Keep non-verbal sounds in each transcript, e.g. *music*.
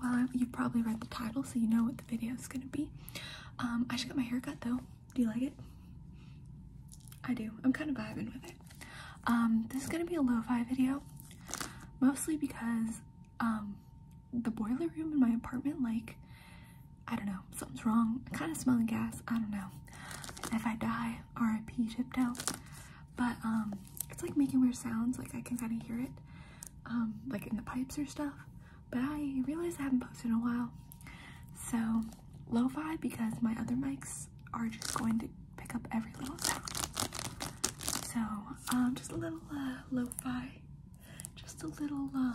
well, you probably read the title, so you know what the video is gonna be. Um, I just got my hair cut though. Do you like it? I do. I'm kind of vibing with it. Um, this is gonna be a lo-fi video, mostly because um, the boiler room in my apartment, like, I don't know, something's wrong. kind of smelling gas. I don't know. If I die, R.I.P. Chipto. But it's like making weird sounds. Like I can kind of hear it um, like in the pipes or stuff. But I realized I haven't posted in a while. So lo-fi because my other mics are just going to pick up every little sound. So um, just a little uh, lo-fi, just a little uh,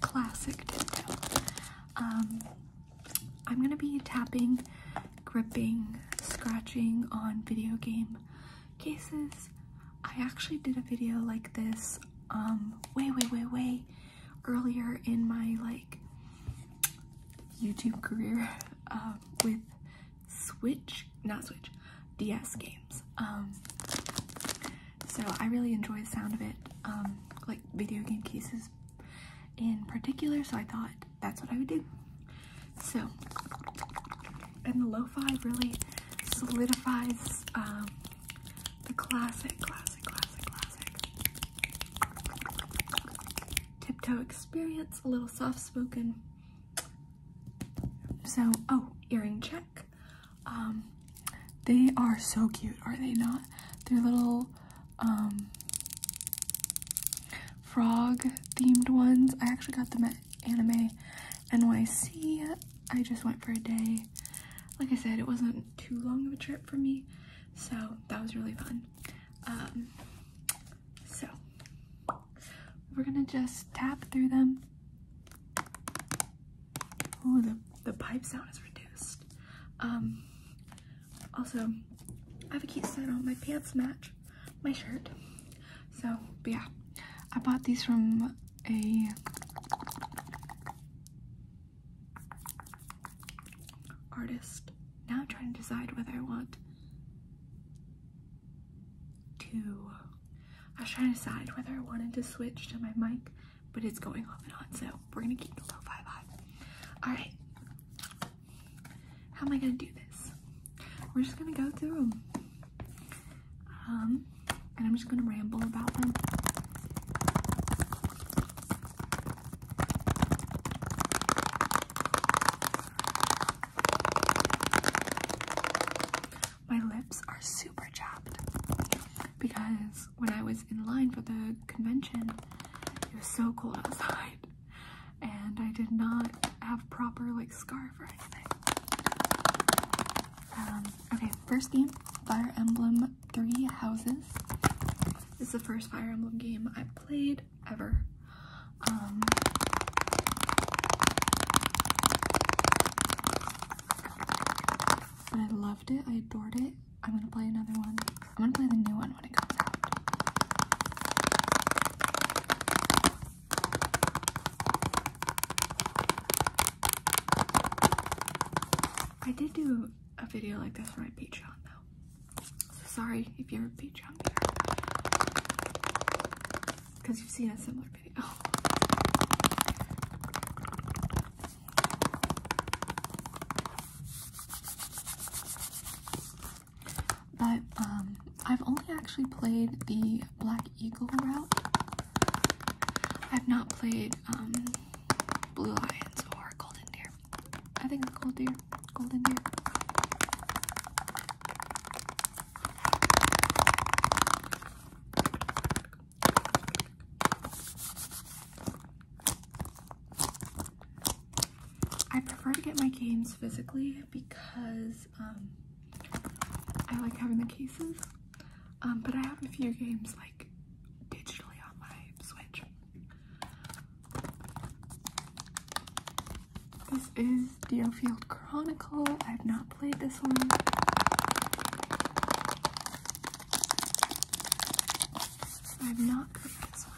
classic tiptoe. Um, I'm gonna be tapping, gripping, scratching on video game cases. I actually did a video like this um way way way way earlier in my like YouTube career *laughs* uh, with Switch, not Switch, DS games. Um so I really enjoy the sound of it, um like video game cases in particular, so I thought that's what I would do. So, and the lo-fi really solidifies um, the classic, classic, classic, classic tiptoe experience. A little soft-spoken. So, oh, earring check. Um, they are so cute, are they not? They're little um, frog-themed ones. I actually got them at anime NYC. I just went for a day. Like I said, it wasn't too long of a trip for me, so that was really fun. Um, so we're gonna just tap through them. Oh, the, the pipe sound is reduced. Um, also, I have a cute set on. My pants match my shirt. So, yeah, I bought these from a artist. Now I'm trying to decide whether I want to. I was trying to decide whether I wanted to switch to my mic, but it's going off and on, so we're gonna keep the low five vibe. Alright. How am I gonna do this? We're just gonna go through them. Um, and I'm just going to ramble about them. My lips are super chapped because when I was in line for the convention, it was so cold outside and I did not have proper like scarf or anything. Um, okay, first game, Fire Emblem Three Houses. This is the first Fire Emblem game i played ever. and um, I loved it. I adored it. I'm gonna play another one. I'm gonna play the new one when it comes out. I did do a video like this for my Patreon though. So sorry if you're a Patreon viewer. Because you've seen a similar video. *laughs* But um, I've only actually played the Black Eagle route. I've not played um, Blue Lions or Golden Deer. I think it's Gold Deer. Golden Deer. I prefer to get my games physically because um, I like having the cases. Um, but I have a few games like digitally on my Switch. This is Field Chronicle. I have not played this one. I have not played this one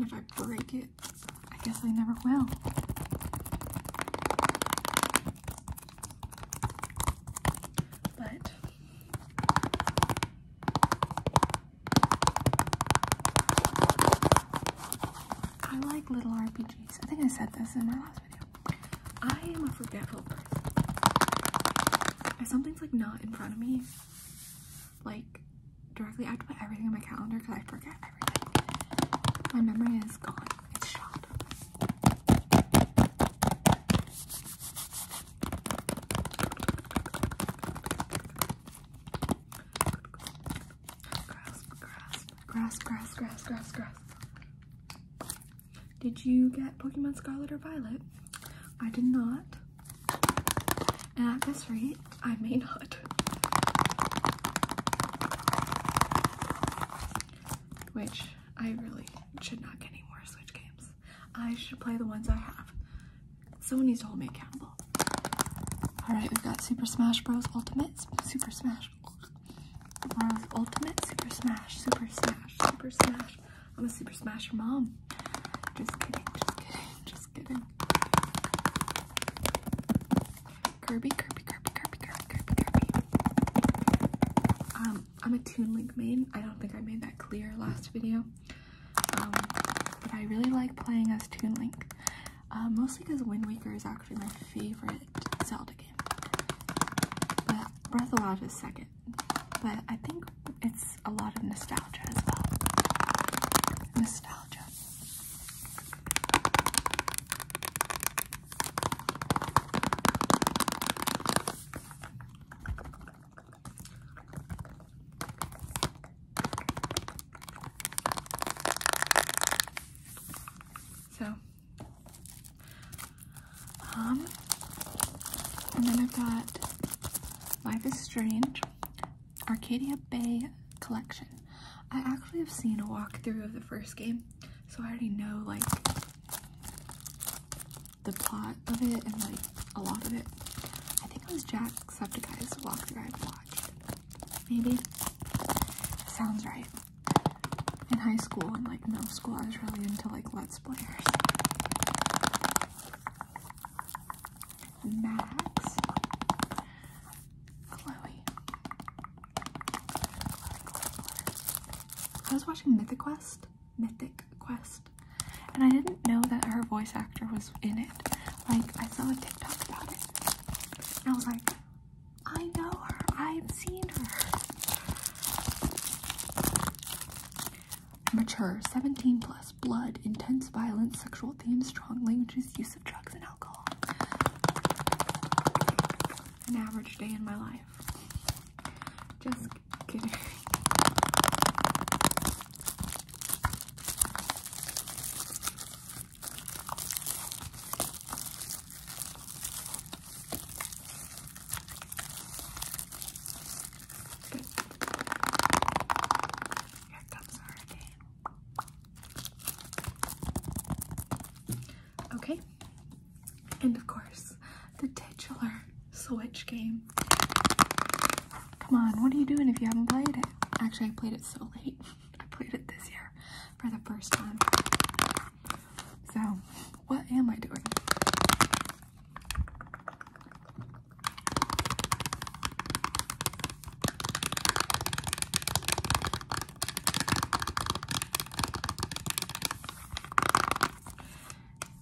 if I break it, I guess I never will. But I like little RPGs. I think I said this in my last video. I am a forgetful person. If something's like not in front of me, like directly, I have to put everything in my calendar because I forget everything. My memory is gone. It's shot. grass, grass, grass, grass, grass, grass. Did you get Pokemon Scarlet or Violet? I did not. And at this rate, I may not. Which I really should not get any more Switch games. I should play the ones I have. Someone needs to hold me accountable. Alright, we've got Super Smash Bros. Ultimate, Super Smash Bros. Ultimate, Super Smash, Super Smash, Super Smash. I'm a super smasher mom. Just kidding, just kidding, just kidding. Kirby, Kirby, Kirby, Kirby, Kirby, Kirby, Kirby. Um, I'm a Toon Link main. I don't think I made that clear last video. Um, but I really like playing as Toon Link. Uh, mostly because Wind Waker is actually my favorite Zelda game. But Breath of the Wild is second but I think it's a lot of nostalgia as well. Nostalgia. So um, and then I've got Life is Strange Arcadia Bay Collection. I actually have seen a walkthrough of the first game, so I already know like the plot of it and like a lot of it. I think it was Jacksepticeye's walkthrough I've watched. Maybe. Sounds right in high school and like middle school, I was really into like Let's Players. Max, Chloe. I was watching Mythic Quest, Mythic Quest, and I didn't know that her voice actor was in it. Like, I saw a TikTok about it, and I was like, I know her, I've seen her. Mature, 17 plus, blood, intense violence, sexual themes, strong languages, use of drugs and alcohol. An average day in my life. Just kidding. Here comes Hurricane. Okay. And of course, the titular Switch game. Come on, what are you doing if you haven't played it? Actually, I played it so late. *laughs* I played it this year for the first time. So, what am I doing?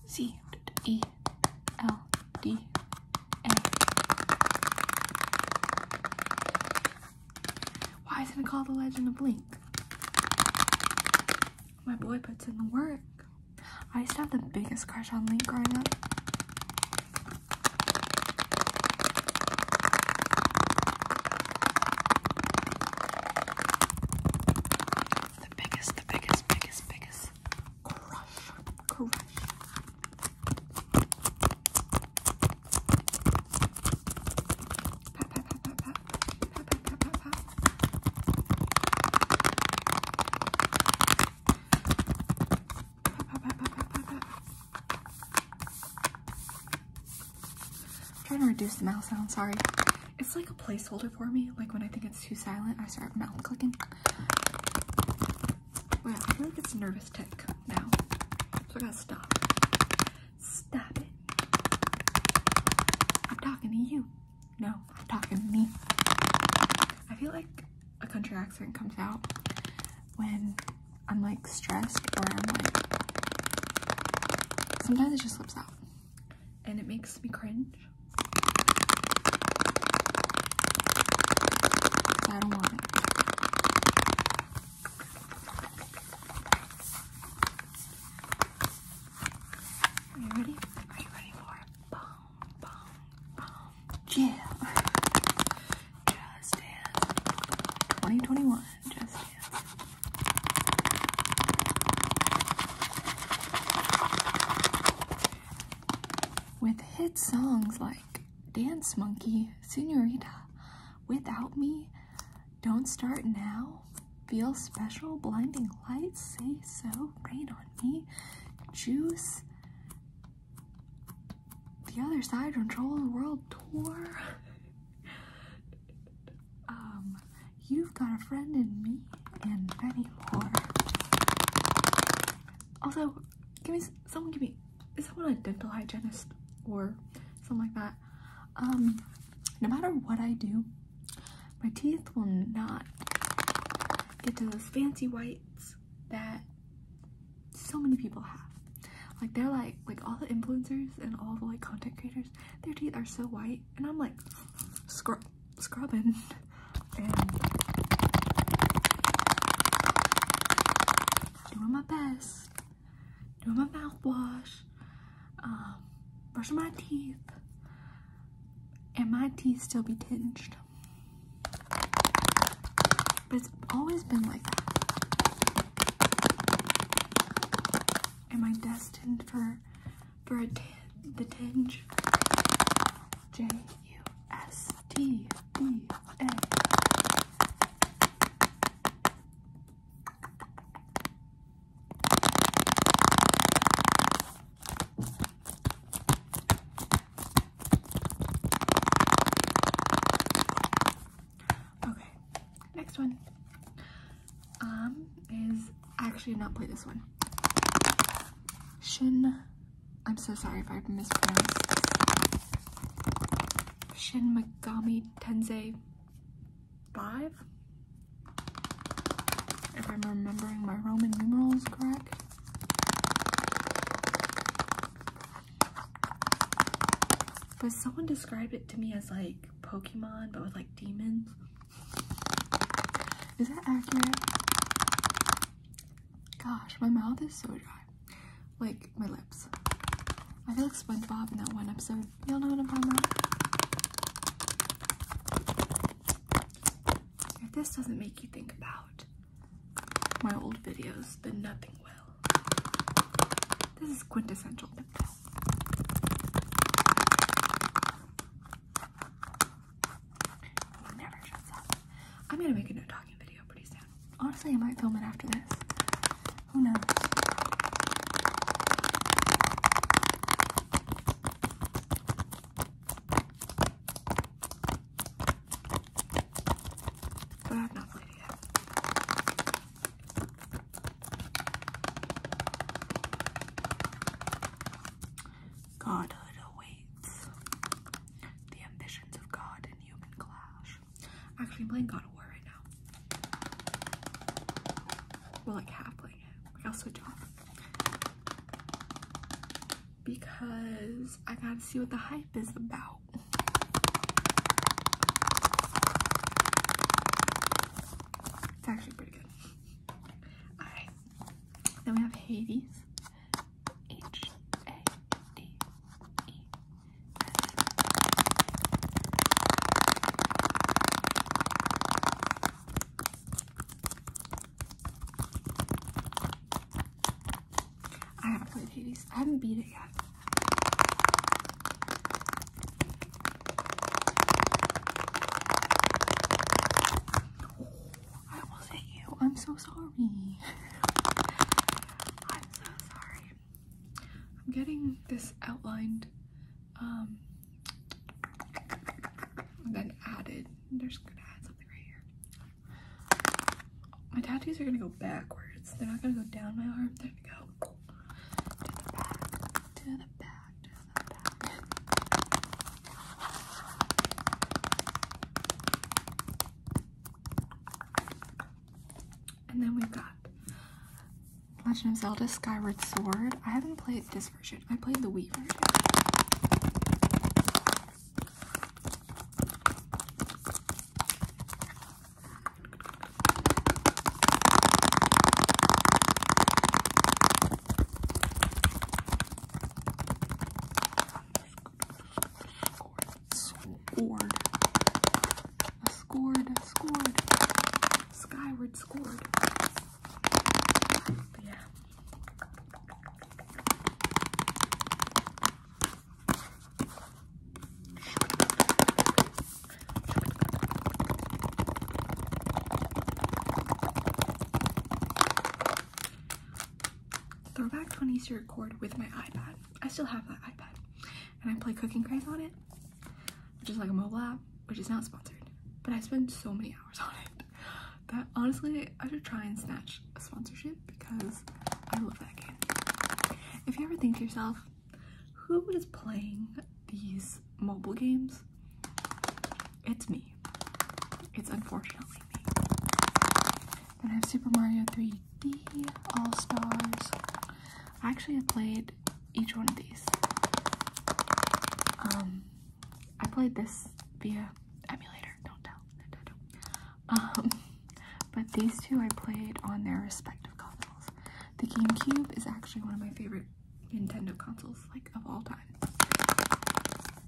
C E L D A. Why isn't it called The Legend of Blink? My boy puts in the work. I used to have the biggest crush on Link growing up. The biggest, the biggest, biggest, biggest crush. Crush. I'm trying to reduce the mouse sound, sorry. It's like a placeholder for me. Like when I think it's too silent, I start mouse clicking. Wow, I feel like it's a nervous tic now. So I gotta stop. Stop it. I'm talking to you. No, I'm talking to me. I feel like a country accent comes out when I'm like stressed or I'm like sometimes it just slips out and it makes me cringe. I don't want it. Are you ready? Are you ready for bomb, bomb, bomb jam? 2021. Just With hit songs like Dance Monkey, Senorita, Without Me, don't start now. Feel special. Blinding lights. Say so. Rain on me. Juice. The other side. Control the world tour. *laughs* um, you've got a friend in me, and many more. Also, give me someone. Give me is someone a dental hygienist or something like that? Um, no matter what I do, my teeth will not get to those fancy whites that so many people have. Like they're like like all the influencers and all the like content creators, their teeth are so white, and I'm like scrub scrubbing *laughs* and doing my best do my mouthwash, um, brushing my teeth, and my teeth still be tinged. But it's always been like that. Am I destined for for a t the tinge? J U S T D A. Okay, next one. Um, is I actually did not play this one. Shin, I'm so sorry if I mispronounced. Shin Megami Tensei five. If I'm remembering my Roman numerals correct. But someone described it to me as like Pokemon, but with like demons. Is that accurate? Gosh, my mouth is so dry. Like, my lips. I feel like SpongeBob in that one episode. Y'all know what I'm talking about? If this doesn't make you think about my old videos, then nothing will. This is quintessential lip balm. never shuts up. I'm gonna make a no talking video pretty soon. Honestly, I might film it after this. Who knows? I have not played yet. Godhood awaits. The ambitions of God in human clash. Actually, I'm playing God of War right now. We're like half playing it. Like I'll switch off because I gotta see what the hype is about. It's actually pretty good. Alright. Then we have Hades. H A D E I haven't played Hades. I haven't beat it yet. I almost hit you. I'm so sorry. *laughs* I'm so sorry. I'm getting this outlined um, and then added. they gonna add something right here. My tattoos are gonna go backwards. They're not gonna go down my arm. They're gonna go to the back, to the back, to the back. And then we've got Legend of Zelda Skyward Sword. I haven't played this version. I played the Wii version. Sword. I scored, I scored. Skyward scored. Yeah. Throwback twenty to record with my iPad. I still have that iPad and I play Cooking Craze on it, which is like a mobile app, which is not sponsored, but I spend so many hours *laughs* on it that honestly I should try and snatch a sponsorship because I love that game. If you ever think to yourself, who is playing these mobile games? It's me. It's unfortunately me. Then I have Super Mario 3 the All Stars. I actually have played each one of these. Um, I played this via emulator. Don't tell. Um, *laughs* but these two I played on their respective consoles. The GameCube is actually one of my favorite Nintendo consoles, like of all time.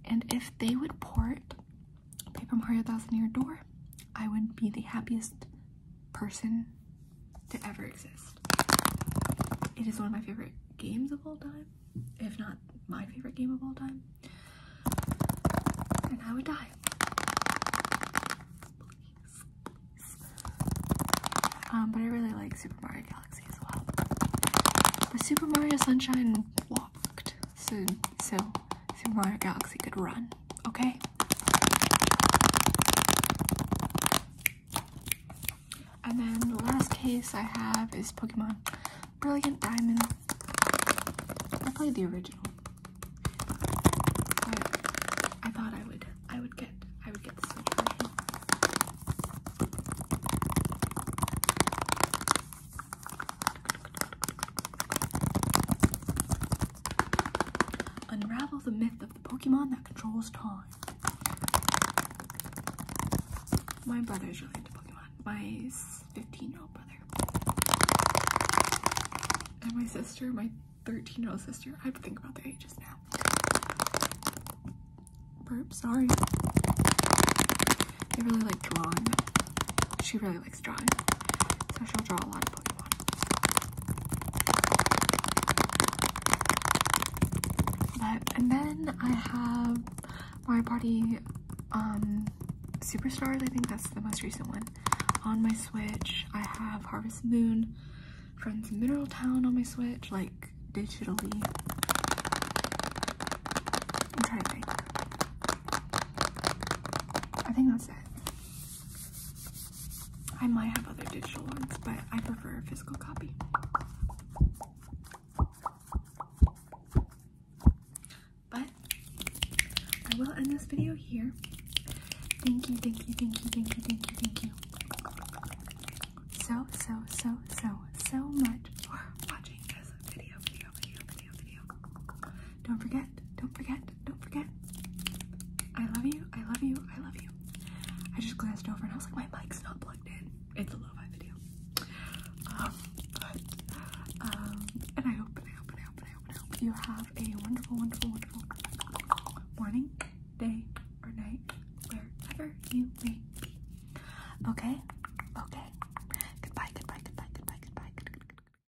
And if they would port Paper Mario Thousand Year Door, I would be the happiest person to ever exist. It is one of my favorite games of all time, if not my favorite game of all time. And I would die. Um, but I really like Super Mario Galaxy as well. But Super Mario Sunshine walked soon, so Super Mario Galaxy could run, okay? And then the last case I have is Pokemon Brilliant Diamond. I played the original. But I thought I would I would get I would get this one. Unravel the myth of the Pokemon that controls time. My brother is really into Pokemon. My 15 year old brother. And my sister, my 13 year old sister. I have to think about their ages now. Burp, sorry. They really likes drawing. She really likes so she'll draw a lot of Pokemon. But, and then I have Mario Party um, Superstars. I think that's the most recent one. On my Switch, I have Harvest Moon, Friends Mineral Town on my Switch, like digitally. i I think that's it. I might have other digital ones, but I prefer a physical copy. But I will end this video here. Thank you, thank you, thank you, thank you, thank you, thank you. So, so, so, so, so much for watching this video, video, video, video, video. Don't forget, don't forget, don't forget. I love you, I love you, I love you. I just glanced over and I was like, my mic's not plugged in. It's a low fi video. Um, um, and I hope, and I hope, and I hope, and I hope, you have a wonderful, wonderful, wonderful morning, day, or night, wherever you may be. Okay? Okay. Goodbye, goodbye, goodbye, goodbye, goodbye, goodbye.